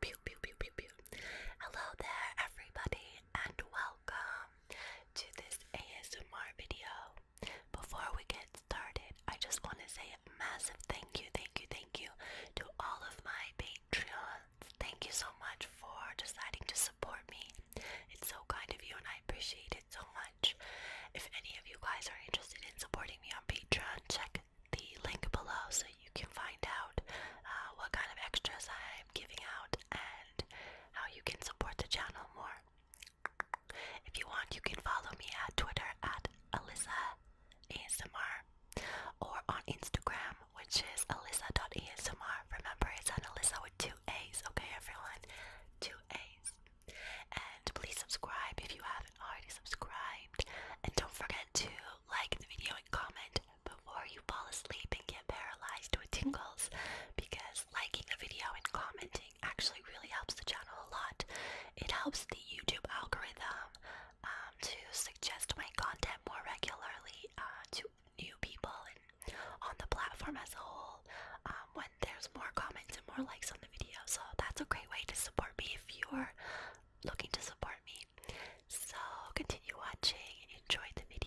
Pew, pew, pew, pew, pew. Hello there, everybody, and welcome to this ASMR video. Before we get started, I just want to say a massive thank you, thank you, thank you to all of my Patreons. Thank you so much for deciding to support me. It's so kind of you, and I appreciate it so much. If any of you guys are interested in supporting me on Patreon, check the link below so you can find out uh, what kind of extras I'm giving out and how you can support the channel more. If you want, you can follow me at Twitter at Alyssa ASMR or on Instagram, which is Alyssa.ASMR. Remember, it's an Alyssa with two A's, okay, everyone? Two A's. And please subscribe if you haven't already subscribed. And don't forget to like the video and comment before you fall asleep and get paralyzed with tingles because liking a video and commenting actually really helps the channel a lot. It helps the YouTube algorithm um, to suggest my content more regularly uh, to new people and on the platform as a whole um, when there's more comments and more likes on the video. So that's a great way to support me if you're looking to support me. So continue watching and enjoy the video.